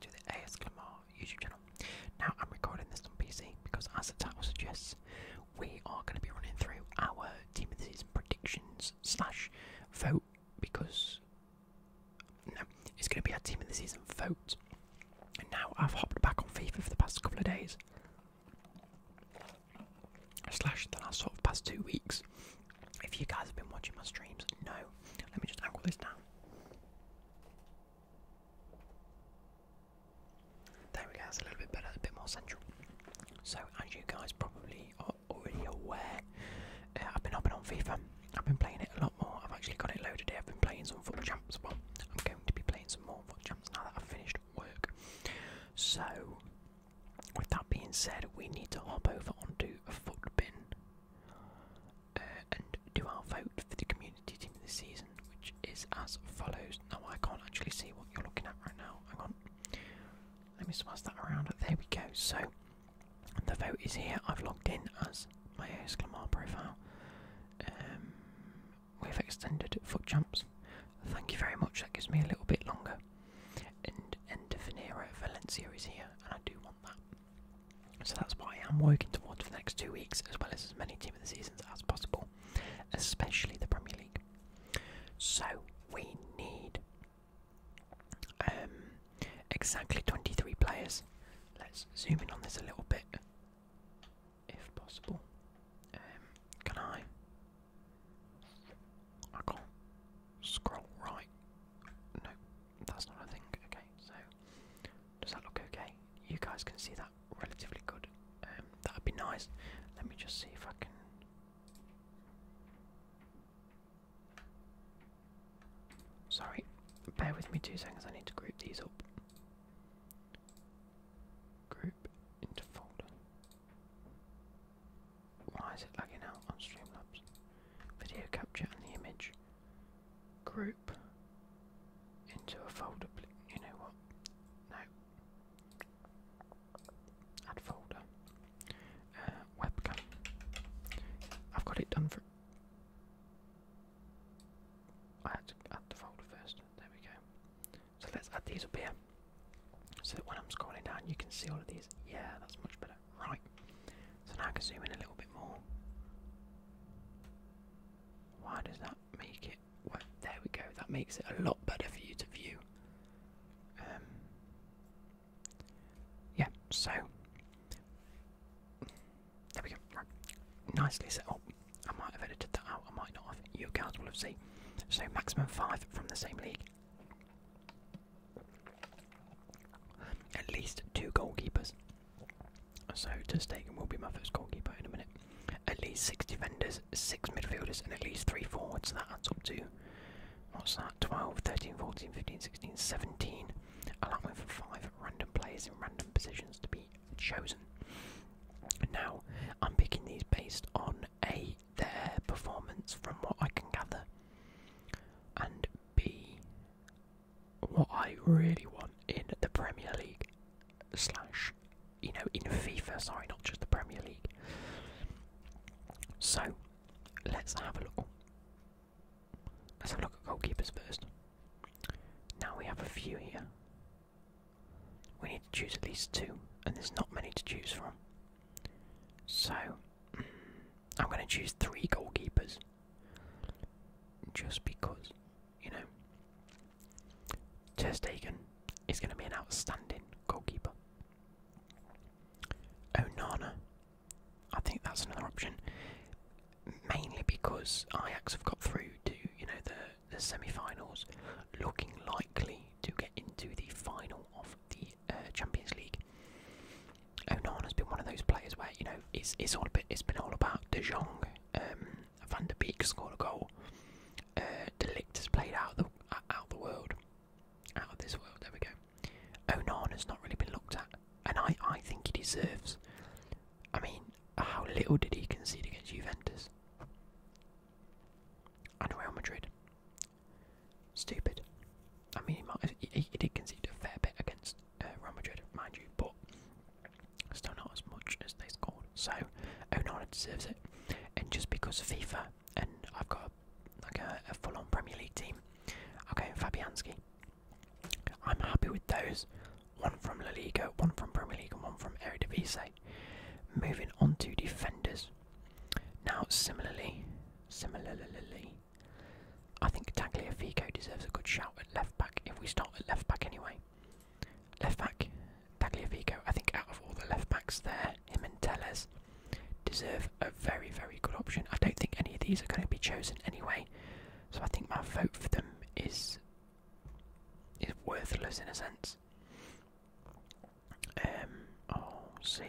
to the ASMR YouTube channel. Now I'm recording this on PC because, as the title suggests, we are going to be running through our team of the season predictions slash vote because no, it's going to be our team of the season vote. And now I've hopped back on FIFA for the past couple of days slash the last sort of past two weeks if you guys have been watching my streams, no. Let me just angle this down. There we go, that's a little bit better, a bit more central. So, as you guys probably are already aware, uh, I've been hopping on FIFA. I've been playing it a lot more. I've actually got it loaded I've been playing some football champs. Well, I'm going to be playing some more football champs now that I've finished work. So, with that being said, we need to hop over onto a foot bin. Uh, and do our vote for the community team this season, which is as follows. Now, I can't actually see what you're looking at right now. Hang on. Let me smash that around. There we go. So, the vote is here. I've logged in as my Esclamar profile. Um, we've extended foot jumps. Thank you very much. That gives me a little bit longer. And Venere Valencia is here, and I do want. So that's what I am working towards for the next two weeks, as well as as many team of the seasons as possible, especially the Premier League. So we need um, exactly 23 players. Let's zoom in on this a little bit, if possible. Um, can I? I can't scroll right. No, that's not a thing. Okay, so does that look okay? You guys can see that relatively good. Um, that'd be nice. Let me just see if I can. Sorry, bear with me two seconds. I need to group these up. Group into folder. Why is it lagging out on Streamlabs? Video capture and the image. Group into a folder. You know what? No. Add folder. Uh, webcam. I've got it done for. I had to add the folder first. There we go. So let's add these up here. So that when I'm scrolling down, you can see all of these. Yeah, that's much better. Right. So now I can zoom in a little bit more. Why does that make it? there we go. That makes it a lot better for you to view. Um, yeah. So there we go. Nicely set up. I might have edited that out. I might not You guys will have seen. So maximum five from the same league at least two goalkeepers. So Stegen will be my first goalkeeper in a minute. At least six defenders, six midfielders, and at least three forwards. That adds up to what's that? 12, 13, 14, 15, 16, 17. Allowing for five random players in random positions to be chosen. Now, I'm picking these based on a their performance from what I can gather, and be what I really want in the Premier League, slash, you know, in FIFA, sorry, not just the Premier League. So, let's have a look. Let's have a look at goalkeepers first. Now we have a few here. We need to choose at least two, and there's not many to choose from. So, I'm going to choose three goalkeepers just because, you know, Ter is going to be an outstanding goalkeeper. Onana, I think that's another option, mainly because Ajax have got through to, you know, the, the semi-finals, looking likely to get into the final of the uh, Champions League. Onana's been one of those players where you know it's it's all bit it's been all about De Jong. Um, Van der Beek scored a goal. Uh, Delict has played out of the out the world, out of this world. There we go. Onana's not really been looked at, and I I think he deserves. I mean, how little did he concede against Juventus and Real Madrid? Stupid. I mean, he, did concede a fair bit against uh, Real Madrid, mind you, but still not as much as they scored. So Onana oh deserves it. And just because FIFA and I've got a, like a full-on Premier League team, okay, Fabianski. I'm happy with those. One from La Liga, one from Premier League, and one from Eredivisie. Moving on to defenders. Now, similarly, similarly, I think Tagliafico deserves a good shout at left back if we start at left back anyway. Left back, Tagliafico, I think out of all the left backs there, him and Tellez deserve a very, very good option. I don't think any of these are going to be chosen anyway, so I think my vote for them is is worthless in a sense. M O C.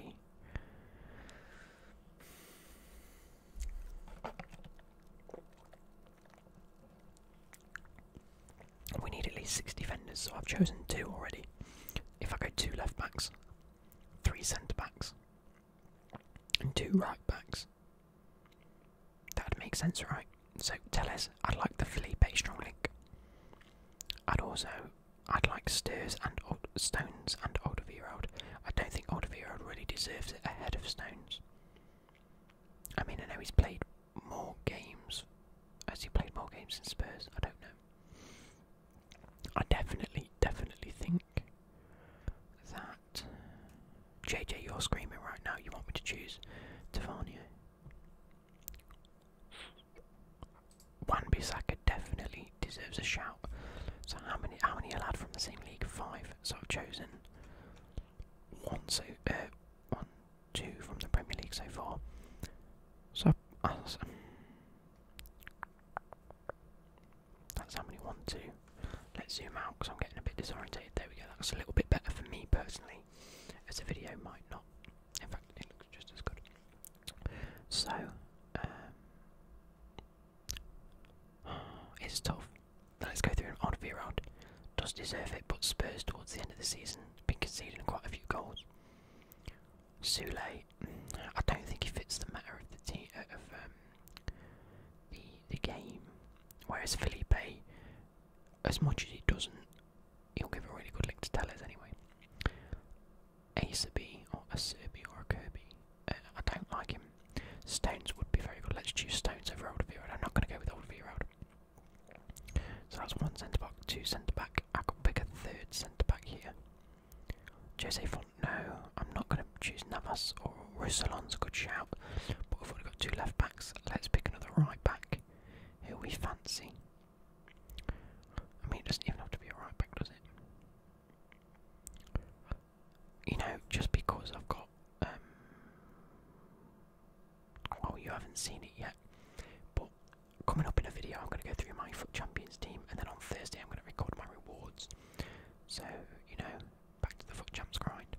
We need at least six defenders, so I've chosen two already. If I go two left backs, three centre backs, and two right backs, that makes sense, right? So tell us, I'd like the Philippe strong link. I'd also I'd like Stirs and Old Stones and Alderweireld. I don't think Alderweireld really deserves it ahead of Stones. I mean, I know he's played more games. Has he played more games in Spurs? I don't know. I definitely, definitely think that. JJ, you're screaming right now. You want me to choose Tavania? One Bissaka definitely deserves a shout. So how many how many allowed from the same league? Five. So I've chosen one so uh, one, two from the Premier League so far. So uh, um, that's how many one two. Let's zoom out because I'm getting a bit disorientated. There we go. That's a little bit better for me personally, as the video might not in fact, it looks just as good. So, um, it's tough. Let's go through an odd V round. Does deserve it, but Spurs towards the end of the season have been conceding quite a few goals. Sule, I don't think he fits the matter of the team uh, of um, the the game. Whereas Philippe, as much as he doesn't, he'll give a really good link to Tellers anyway. Acerby or a Serbi or a Kirby. Uh, I don't like him. Stones would be very good. Let's choose Stones over Oldfield. I'm not going to go with Oldfield. So that's one centre back, two centre back. I could pick a third centre back here. Jose Font. No, I'm not going to choose Navas or Rousselon's a good shout. But we've only got two left backs. Let's pick another right back. Who we fancy? I mean, it doesn't even have to be a right back, does it? You know, just because I've got. Um, well, you haven't seen it yet, but coming up in a video, I'm going to go through my Foot Champions team, and then on Thursday, I'm going to record my rewards. So, you know, back to the Foot Champs grind.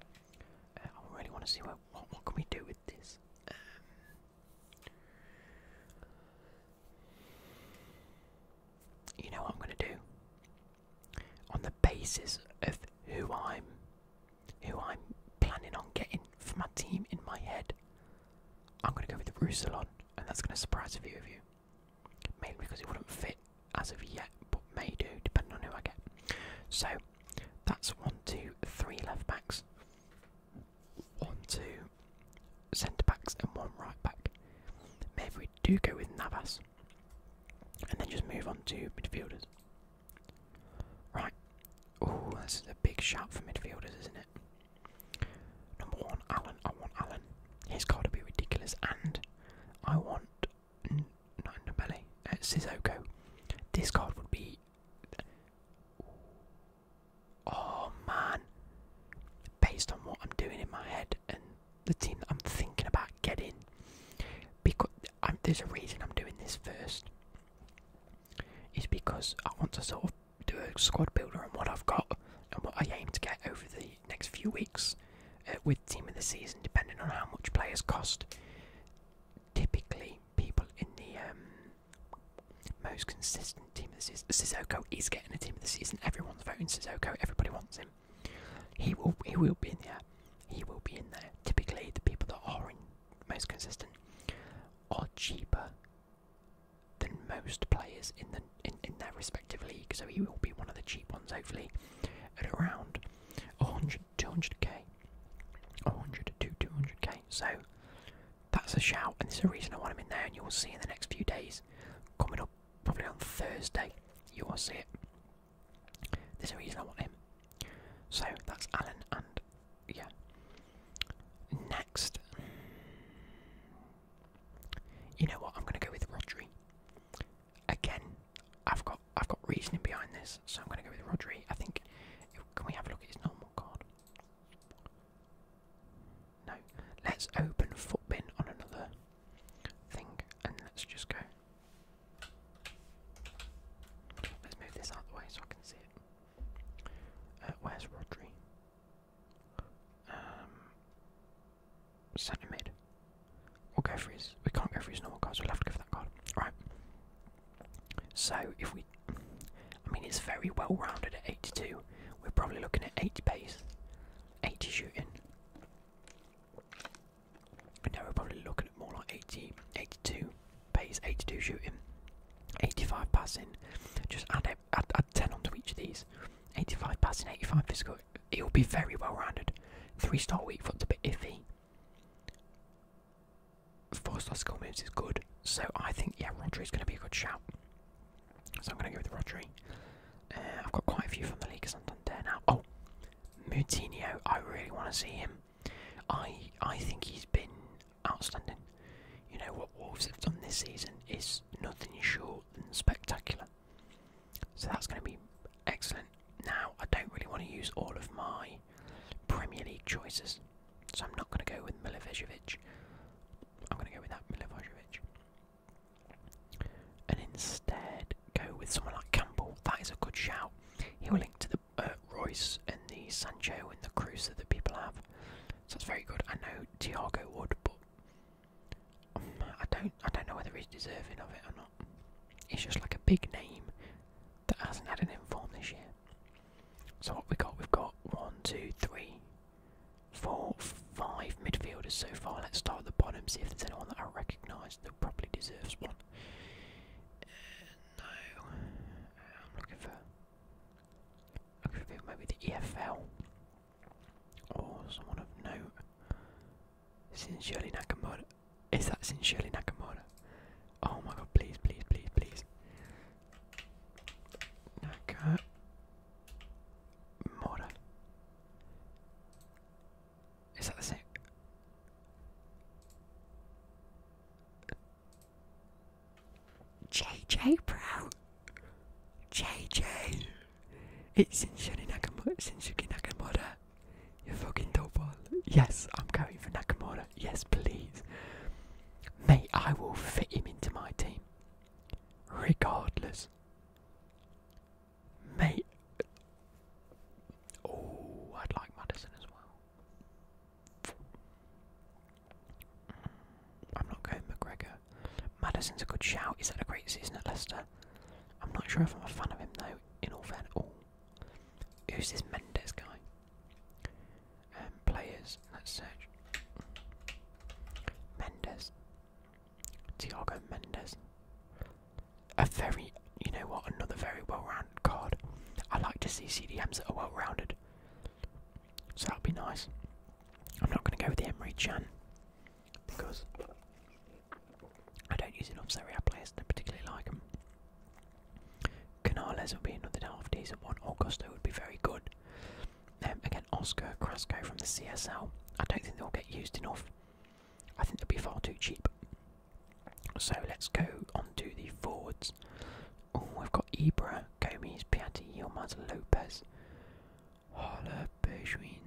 Uh, I really want to see what what can we do with this. Um, you know what I'm going to do? On the basis of who I'm, who I'm planning on getting for my team in my head, I'm going to go with the Rousselon, and that's going to surprise a few of you. Mainly because it wouldn't fit as of yet, but may do depending on who I get. So that's one, two, three left backs, one, two centre backs, and one right back. Maybe we do go with Navas and then just move on to midfielders. Right. Oh, this is a big shout for midfielders, isn't it? Number one, Allen. I want Allen. His card would be ridiculous, and I want not Nobele, uh, Sissoko. This card would be Oh man. Based on what I'm doing in my head and the team I'm thinking about getting, because there's a reason I'm doing this first. Is because I want to sort of do a squad builder on what I've got and what I aim to get over the next few weeks uh, with team of the season, depending on how much players cost. Typically, people in the um, most consistent team of the season. Sissoko is getting a team of the season. Everyone's voting Sissoko. Everybody wants him. He will. He will be in there. He will be in there. Typically, the people that are in most consistent are cheaper than most players in the in, in their respective league. So he will be one of the cheap ones, hopefully, at around 100, 200k. 100 to 200k. So that's a shout, and there's a reason I want him in there, and you will see in the next few days. Coming up probably on Thursday, you will see it. There's a reason I want him. So that's Alan, and yeah. Next, you know what? I'm going to go with Rodri. Again, I've got. I've got reasoning behind this, so I'm going to go with Rodri. I think. Can we have a look at his normal card? No. Let's open Footbin on another thing, and let's just go. Let's move this out way so I can see it. Uh, where's Rodri? Um, centre mid. We'll go for his. We can't go for his normal card, so we'll have to go for that card. Right. So if we, I mean, it's very well rounded at 82. We're probably looking at 80 pace, 80 shooting. Now we're probably looking at more like 80, 82 pace, 82 shooting, 85 passing. Just add, add, add 10 onto each of these. 85 passing, 85 physical. It will be very well rounded. Three star weak foot's a bit iffy four-star skill moves is good. So I think yeah, is going to be a good shout. So I'm going to go with Rodri. Uh, I've got quite a few from the league, I'm done there now. Oh, Moutinho, I really want to see him. I I think he's been outstanding. You know what Wolves have done this season is nothing short than spectacular. So that's going to be excellent. Now I don't really want to use all of my Premier League choices. So I'm not going to go with Milivojevic. I'm going to go with that Milivojevic. And instead go with someone like Campbell. That is a good shout. He'll link to the uh, Royce and the Sancho and the Cruz that people have. So it's very good. I know Tiago would, but um, I don't. I don't know whether he's deserving of it or not. It's just like a big name that hasn't had an inform this year. So what we got? We've got one, two, three, four, five midfielders so far. Let's start at the bottom, see if there's anyone that I recognise that probably deserves one. Uh, no, uh, I'm looking for looking for maybe the EFL or someone of note. Sincerely Nakamura. Is that sincerely Nakamura? Oh my god, please, please, please, please. Nakamura. Is that the same? JJ Pro. JJ. It's Shinsuke Nakamura. Shinsuke Nakamura you fucking double. Yes, I'm going for Nakamura. Yes, please. Mate, I will fit him into my team. Regardless. Mate. Oh, I'd like Madison as well. Mm, I'm not going McGregor. Madison's a good shout. He's had a great season at Leicester. I'm not sure if I'm a fan of him though, in all fairness. Oh, Who's this Mendes guy? Um, players, let's search. Mendes. Tiago Mendes. A very, you know what, another very well rounded card. I like to see CDMs that are well rounded. So that'll be nice. I'm not going to go with the Emery Chan because I don't use enough Serie A players and I particularly like them. Canales would be another half decent one. Augusto would be very good. Um, again, Oscar Crasco from the CSL. I don't think they'll get used enough. I think they'll be far too cheap. So let's go on to the forwards. Oh, I've got Ibra, Gomes, Piatti, Yilmaz, Lopez, Hala, Bergwijn,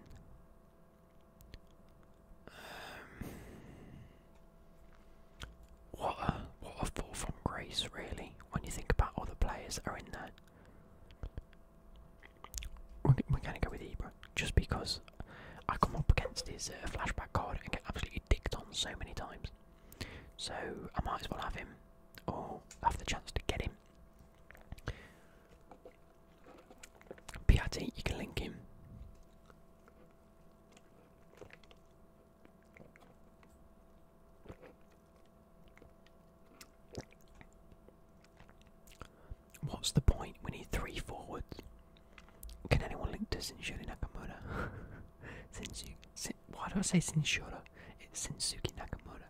um, what a what a fall from grace, really, when you think about all players that are in there. We're, going to go with Ibra, just because I come up against his uh, flashback card and get absolutely dicked on so many times. So I might as well have him, or have the chance to get him. Piatti, you can link him. What's the point? We need three forwards. Can anyone link to Sinshuri Nakamura? Sinsu why do I say Sinshura? It's Sensuki Nakamura.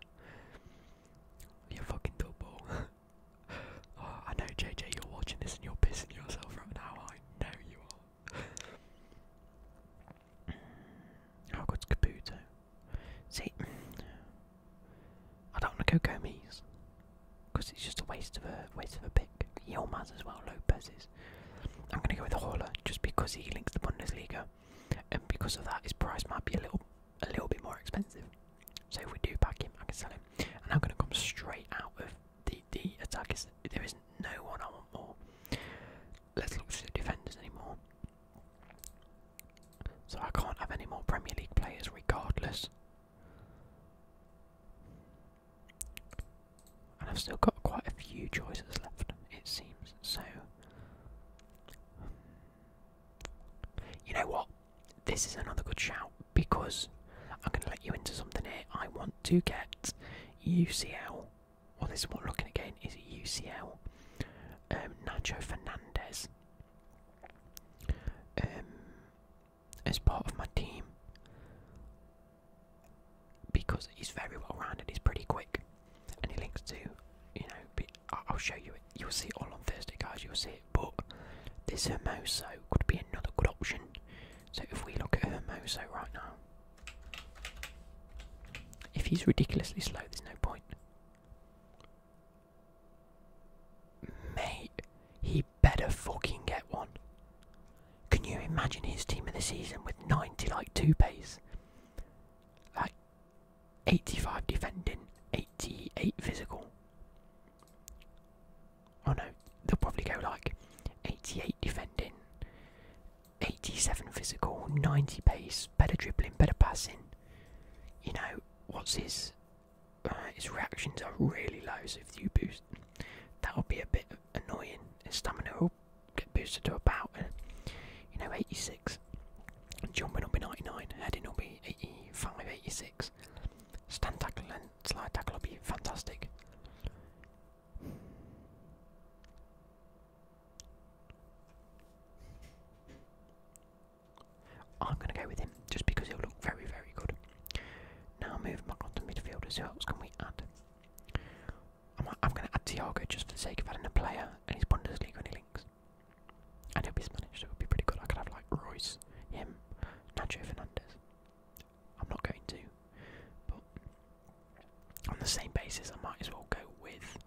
you fucking dope. Oh, I know, JJ, you're watching this and you're pissing yourself right now. I know you are. How good's Kabuto? See, I don't want to go Gomez because it's just a waste of a waste of a pick. Yilmaz as well, Lopez is. I'm going to go with Horler just because he links the Bundesliga, and because of that, his price might be a little a little bit more expensive. So if we do pack him, I can sell him. And I'm going to come straight out of the, the attack. Is, there is no one I want more. Let's look through the defenders anymore. So I can't have any more Premier League players regardless. And I've still got quite a few choices left, it seems. So, you know what? this is another good shout because I'm going to let you into something here. I want to get UCL. Well, this is what I'm looking again is UCL. Um, Nacho Fernandez um, as part of my team because he's very well rounded. He's pretty quick, and he links to you know. I'll show you you'll see it all on Thursday, guys. You'll see it. But this Hermoso could be another good option. So if we look at Hermoso right now, if he's ridiculously slow, there's no point. Mate, he better fucking get one. Can you imagine his team in the season with 90 like two pace? Like 85 defending, 88 physical. Oh no, they'll probably go like 88 defending, 87 physical, 90 pace, better dribbling, better passing. You know, what's his uh, his reactions are really low, so if you boost, that'll be a bit annoying. His stamina will get boosted to about, uh, you know, 86. Jumping will be 99, heading will be AE, Stand tackle and slide tackle will be fantastic. I'm going to go with him just because he'll look very, very good. Now moving back onto midfielders, who else can we add? I'm, going to add Thiago just for the sake of adding a player and his Bundesliga and he and he'll be Spanish, so it would be pretty good. I could have like Royce, him, Nacho Fernandez. I'm not going to, but on the same basis, I might as well go with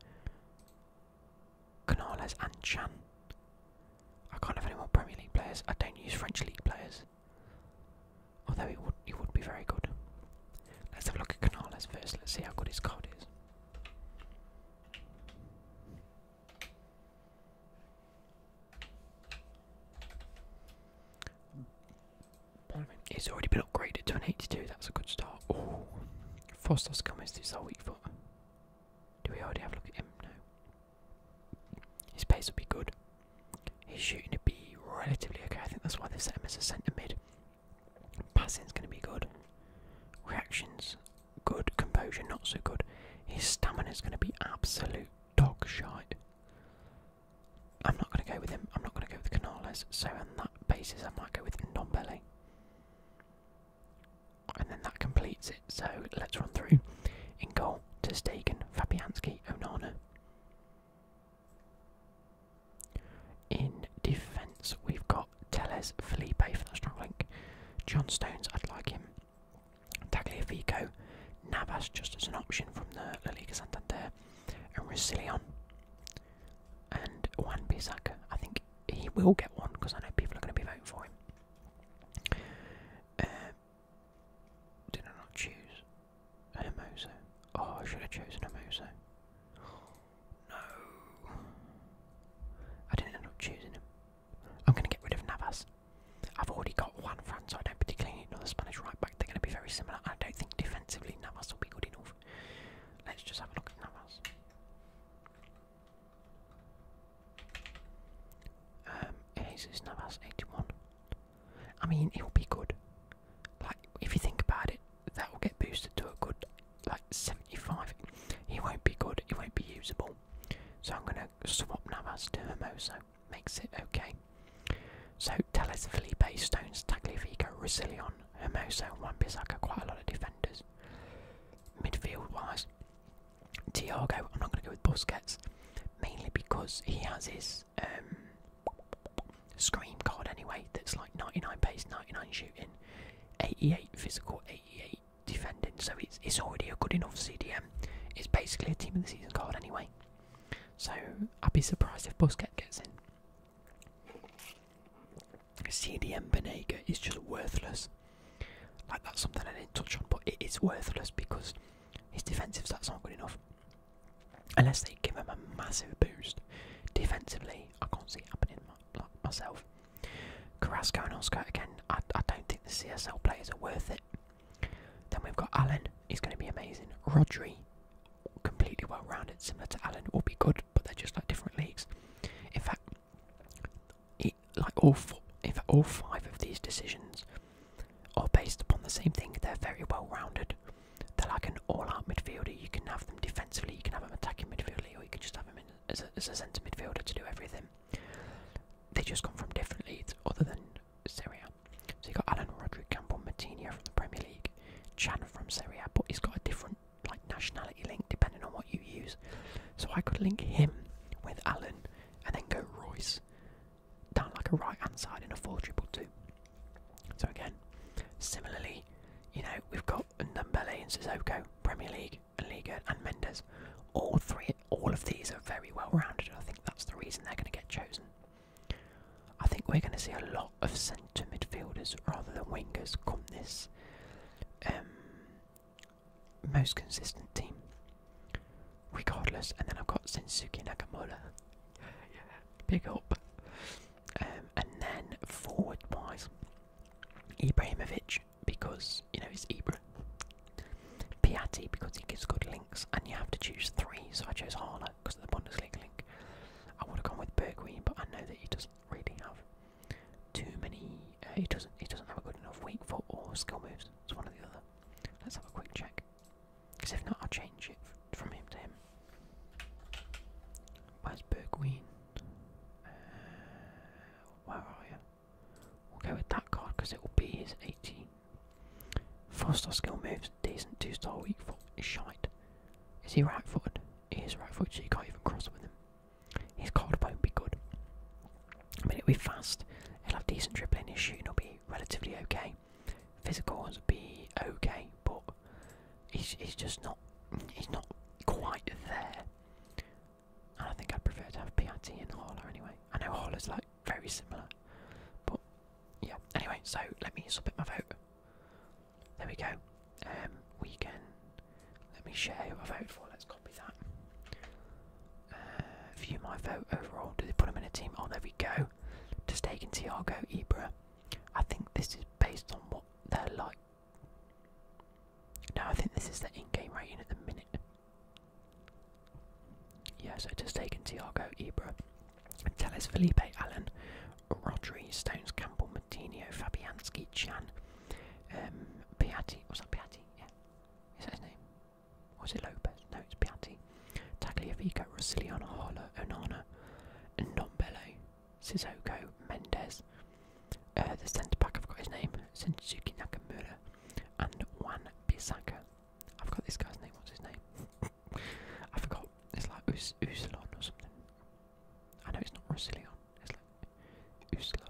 Canales and Chan. I can't have any more Premier League players. I don't use French League players, although it would it would be very good. Let's have a look at Canales first. Let's see how good his card is. It's already been upgraded to an 82, that's a good start. Oh, Frostos coming this whole weak foot. Do we already have a look at him? No. His pace will be good. His shooting to be relatively okay. I think that's why they set him as a centre mid. is going to be good. Reactions good. Composure, not so good. His stamina is going to be absolute dog shite. I'm not going to go with him. I'm not going to go with Canales. So on that basis, I might go with Ndombele. And then that completes it. So let's run through. In goal, to Stegen, Fabianski, Onana. In defence, we've got Telles Felipe for that strong link. John Stones, I'd like him. Tagliafico, Navas just as an option from the La Liga Santander, and Rusilion, and Juan Bissaka. I think he will get one because I know people are going to be voting for him. Uh, did I not choose Hermoso? Oh, I should have chosen Hermoso. No. I didn't end up choosing him. I'm going to get rid of Navas. I've already got one Fran, so I don't particularly need another Spanish right back. They're going to be very similar. I don't think defensively Navas will be good enough. Let's just have a look at Navas. Um, Jesus Navas 81. I mean, he'll be good. Like, if you think about it, that will get boosted to a good like 75. He won't be good, he won't be usable. So I'm going to swap Navas to Hermoso. Makes it okay. So Telles, Felipe, Stones, Tagliafico, Rosillion, Hermoso, and Wan quite a lot of defenders. Midfield wise, Tiago, I'm not going to go with Busquets, mainly because he has his um, Scream card anyway that's like 99 pace, 99 shooting. 88 physical, 88 defending. So it's it's already a good enough CDM. It's basically a team of the season card anyway. So I'd be surprised if Busquets gets in. CDM Benega is just worthless. Like that's something I didn't touch on, but it is worthless because his defensive stats aren't good enough. Unless they give him a massive boost defensively, I can't see it happening like myself. Carrasco and Oscar again. I, don't think the CSL players are worth it. Then we've got Allen. He's going to be amazing. Rodri, completely well-rounded, similar to Allen, will be good, but they're just like different leagues. In fact, like all four, in fact, all five of these decisions are based upon the same thing. They're very well-rounded. They're like an all-out midfielder. You can have them defensively. You can have them attacking midfielder we you could just have him as a, centre midfielder to do everything. They just come from different leagues other than Serie A. So you got Alan Roderick Campbell Matinho from the Premier League, Chan from Serie A, but he's got a different like nationality link depending on what you use. So I could link him with Alan and then go Royce down like a right hand side in a 4 triple 2. So again, similarly, you know, we've got and Nambele and Sissoko, Premier League and Liga and Mendes. All three, all of these are very well rounded. I think that's the reason they're going to get chosen. I think we're going to see a lot of centre midfielders rather than wingers come this um, most consistent team, regardless. And then I've got Sensuki Nakamura. Big up. Um, and then forward wise, Ibrahimovic because you know it's Ibra. Piatti because he gives good links, and you have to choose three. So I chose Harla because of the Bundesliga link. I would have gone with Bergwijn, but I know that he doesn't really have too many. Uh, he doesn't. He doesn't have a good enough weak foot or skill moves. It's one or the other. Let's have a quick check. Because if not, I'll change it from him to him. Where's Burgween? Uh, where are you? We'll go with that card because it will be his 18. Four star skill moves, decent, two star weak foot is shite. Is he right footed? He's right footed, so you can't even cross with him. His card won't be good. I mean, it'll be fast, he'll have decent dribbling, his it will be relatively okay. Physicals will be okay great, but he's he's just not he's not quite there. And I think I'd prefer to have PIT and Harler anyway. I know Harler's like very similar, but yeah. Anyway, so let me submit my vote. There we go. Um, we can let me share who I vote for. Let's copy that. Uh, view my vote overall. Do they put him in a team? Oh, there we go. To stake in Tiago Ibra. I think this is based on what they're like. No, I think this is the in-game rating at the minute. Yeah, so just taken Tiago, Ibra, Teles, Felipe, Allen, Rodri, Stones, Campbell, Martino, Fabianski, Chan, um, Piatti. What's that Piatti? Yeah, is that his name? Or it Lopez? No, it's Piatti. Tagliafico, Rossiliano, Harlow, Onana, and Nombele. Suzuko Mendes. Uh, the centre back, I've got his name, Shinsuke Nakamura, and Wan Bissaka. I have got this guy's name, what's his name? I forgot, it's like Us or something. I know it's not Russilon, it's like Usla.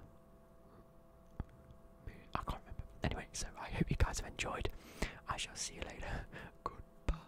I can't remember. Anyway, so I hope you guys have enjoyed. I shall see you later. Goodbye.